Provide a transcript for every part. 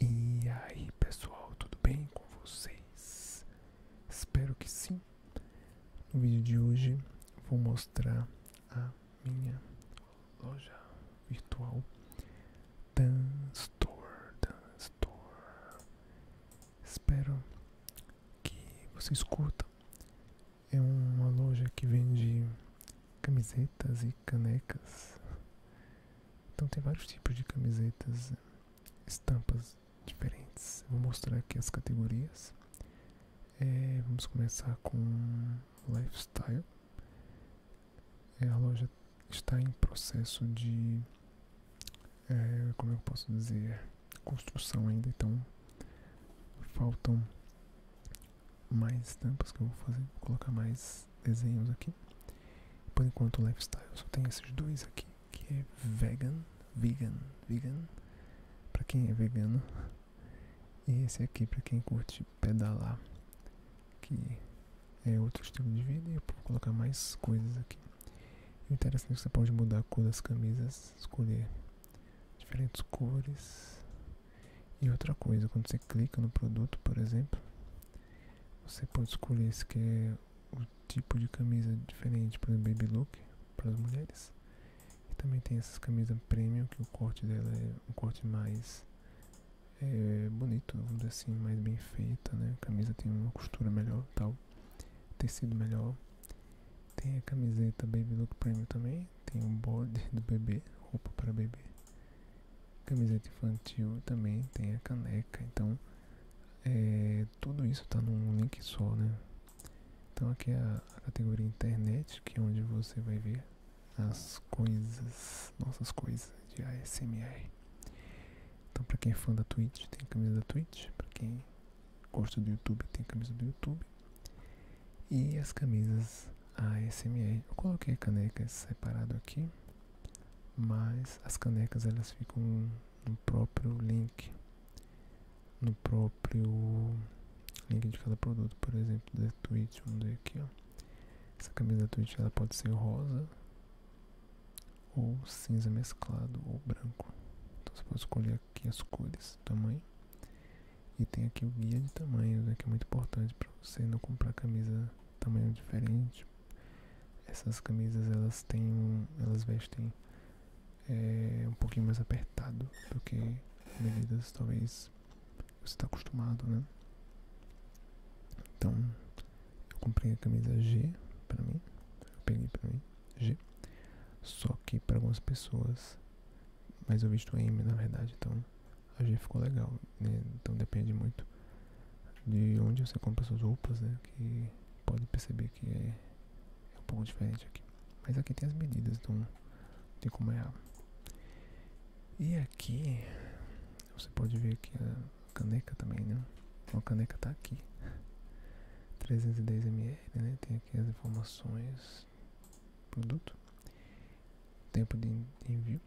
E aí pessoal, tudo bem com vocês? Espero que sim. No vídeo de hoje vou mostrar a minha loja virtual Dance Store, Store. Espero que vocês curtam. É uma loja que vende camisetas e canecas. Então tem vários tipos de camisetas, estampas diferentes. vou mostrar aqui as categorias. É, vamos começar com lifestyle. É, a loja está em processo de, é, como eu posso dizer, construção ainda. Então faltam mais estampas que eu vou fazer, colocar mais desenhos aqui. Por enquanto, lifestyle só tem esses dois aqui, que é vegan, vegan, vegan, para quem é vegano, e esse aqui para quem curte pedalar, que é outro estilo de vida. E eu vou colocar mais coisas aqui. O interessante é que você pode mudar a cor das camisas, escolher diferentes cores. E outra coisa, quando você clica no produto, por exemplo, você pode escolher esse que é o tipo de camisa diferente para o baby look, para as mulheres. E também tem essas camisas premium, que o corte dela é um corte mais é, bonito, vamos dizer assim, mais bem feita, né? A camisa tem uma costura melhor tal, tecido melhor. Tem a camiseta Baby Look Premium também, tem um bode do bebê, roupa para bebê, camiseta infantil também, tem a caneca, então é, tudo isso está num link só, né? Então aqui é a, a categoria internet, que é onde você vai ver as coisas, nossas coisas de ASMR. Então para quem é fã da Twitch, tem camisa da Twitch, para quem gosta do YouTube, tem camisa do YouTube. E as camisas ASMR. Eu coloquei canecas separado aqui, mas as canecas elas ficam no próprio link, no próprio link de cada produto, por exemplo, da Twitch, vamos ver aqui, ó. Essa camisa da Twitch ela pode ser rosa ou cinza mesclado ou branco. Então você pode escolher aqui as cores, tamanho. E tem aqui o guia de tamanhos, né, que é muito importante para você não comprar camisa tamanho diferente. Essas camisas elas têm, elas vestem é, um pouquinho mais apertado do que medidas talvez você está acostumado, né? Então eu comprei a camisa G para mim, peguei para mim G. Só que para algumas pessoas mas eu visto M na verdade, então a gente ficou legal. Né? Então depende muito de onde você compra suas roupas, né? Que pode perceber que é, é um pouco diferente aqui. Mas aqui tem as medidas, então tem como errar. E aqui você pode ver que a caneca também, né? Então a caneca está aqui. 310 ml, né? Tem aqui as informações, produto, tempo de envio.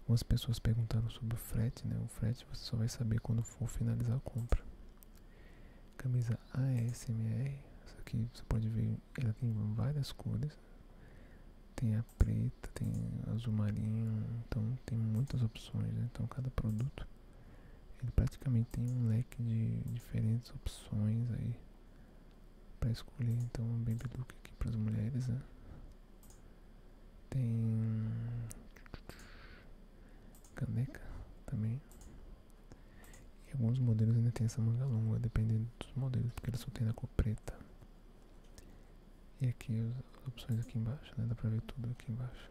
Algumas pessoas perguntaram sobre o frete, né? O frete você só vai saber quando for finalizar a compra. Camisa ASMR, aqui você pode ver, ela tem várias cores. Tem a preta, tem azul marinho, então tem muitas opções, né? Então cada produto ele praticamente tem um leque de diferentes opções aí para escolher. Então, um baby look aqui para as mulheres, né? Tem caneca também. E alguns modelos ainda tem essa manga longa, dependendo dos modelos, porque ele só tem na cor preta. E aqui as opções aqui embaixo, né? Dá para ver tudo aqui embaixo.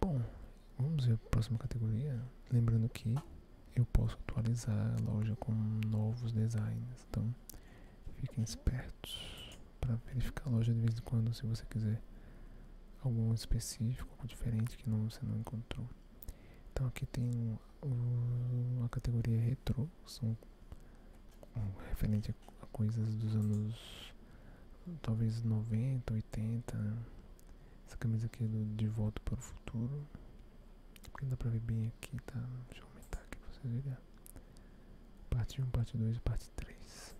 Bom, vamos ver a próxima categoria. Lembrando que eu posso atualizar a loja com novos designs. Então fiquem espertos para verificar a loja de vez em quando se você quiser algum específico, diferente que você não encontrou. Então aqui tem o, a categoria retro são um, referente coisas dos anos talvez 90, 80. Né? Essa camisa aqui é do De Volta para o Futuro. Porque dá para ver bem aqui, tá? Deixa eu aumentar aqui para vocês verem. Parte 1, parte 2 e parte 3.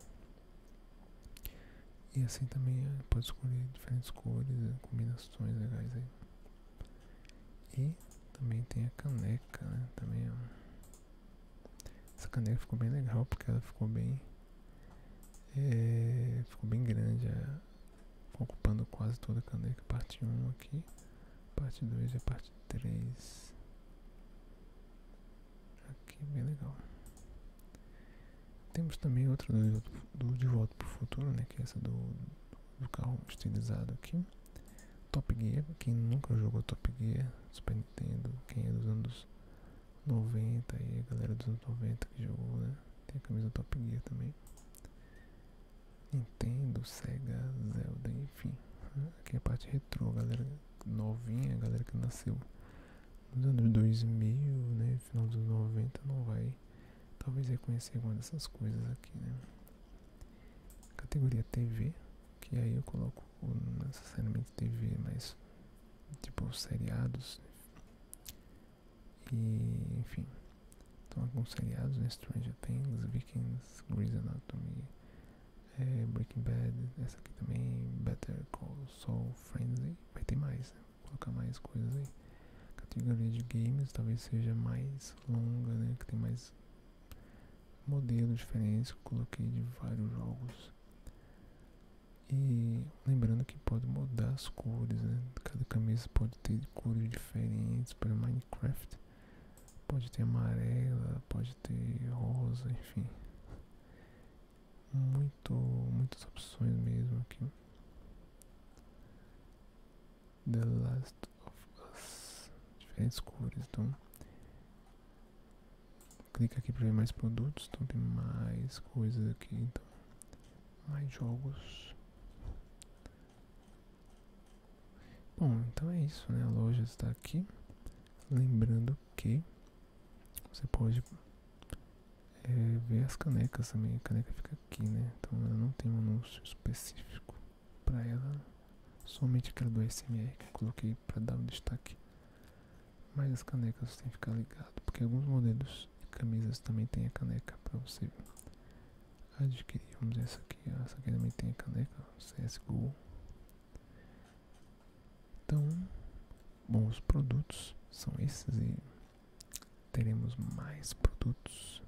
E assim também é, pode escolher diferentes cores, né? combinações legais aí. E também tem a caneca, né? Também Essa caneca ficou bem legal porque ela ficou bem. É, ficou bem grande. É. ocupando quase toda a caneca. Parte 1 aqui. Parte 2 e parte 3. Aqui, bem legal. Temos também outra do, De Volta para o Futuro, né? Que é essa do do carro estilizado aqui. Top Gear, quem nunca jogou Top Gear, Super Nintendo, quem é dos anos 90 aí, a galera dos anos 90 que jogou, né? Tem a camisa Top Gear também. Nintendo, Sega, Zelda, enfim. Aqui é a parte retrô, a galera novinha, a galera que nasceu nos anos 2000, né? Final dos 90 não vai talvez reconhecer alguma dessas coisas aqui, né? categoria TV, que aí eu coloco necessariamente TV, mas tipo seriados e enfim. Então alguns seriados, né? Stranger Things, Vikings, Grey's Anatomy, eh, Breaking Bad, essa aqui também, Better Call Saul, Frenzy, vai ter mais, né? Vou colocar mais coisas aí categoria de games talvez seja mais longa, né? Que tem mais modelos diferentes que eu coloquei de vários jogos. E lembrando que pode mudar as cores, né? Cada camisa pode ter cores diferentes para Minecraft. Pode ter amarela, pode ter rosa, enfim. Muito, muitas opções mesmo aqui. The Last of Us. Diferentes cores, então. Clica aqui para ver mais produtos, então tem mais coisas aqui, então. Mais jogos. Bom, então é isso, né? A loja está aqui. Lembrando que você pode é ver as canecas também. A caneca fica aqui, né? Então não tem um anúncio específico para ela. Somente aquela do SMR que eu coloquei para dar um destaque. Mas as canecas você tem que ficar ligado, porque alguns modelos de camisas também tem a caneca para você adquirir. Vamos ver essa aqui. Essa aqui também tem a caneca CSGO. Então, bons produtos são esses e teremos mais produtos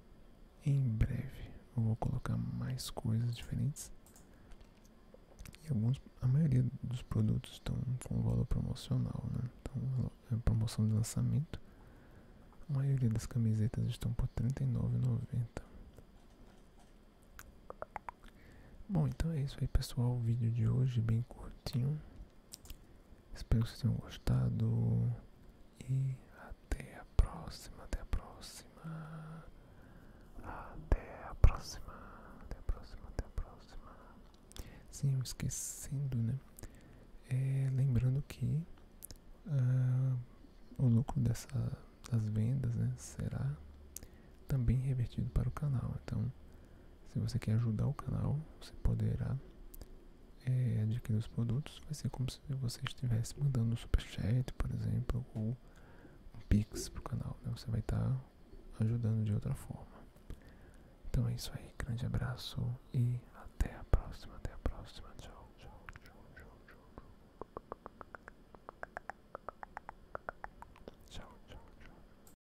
em breve. Eu vou colocar mais coisas diferentes. E alguns, a maioria dos produtos estão com valor promocional, né? Então, é promoção de lançamento. A maioria das camisetas estão por R$ 39,90. Bom, então é isso aí, pessoal. O vídeo de hoje é bem curtinho. Espero que vocês tenham gostado. E até a próxima. Até a próxima. Até a próxima. Até a próxima. Até a próxima. Sim, esquecendo, né? É, lembrando que ah, o lucro dessa, das vendas né, será também revertido para o canal. Então, se você quer ajudar o canal, você poderá eh, adquirir os produtos. Vai ser como se você estivesse mandando um superchat, por exemplo, ou um pix pro canal. Né? Você vai estar tá ajudando de outra forma. Então é isso aí. Grande abraço e até a próxima. Até a próxima. tchau, tchau. Tchau, tchau, tchau.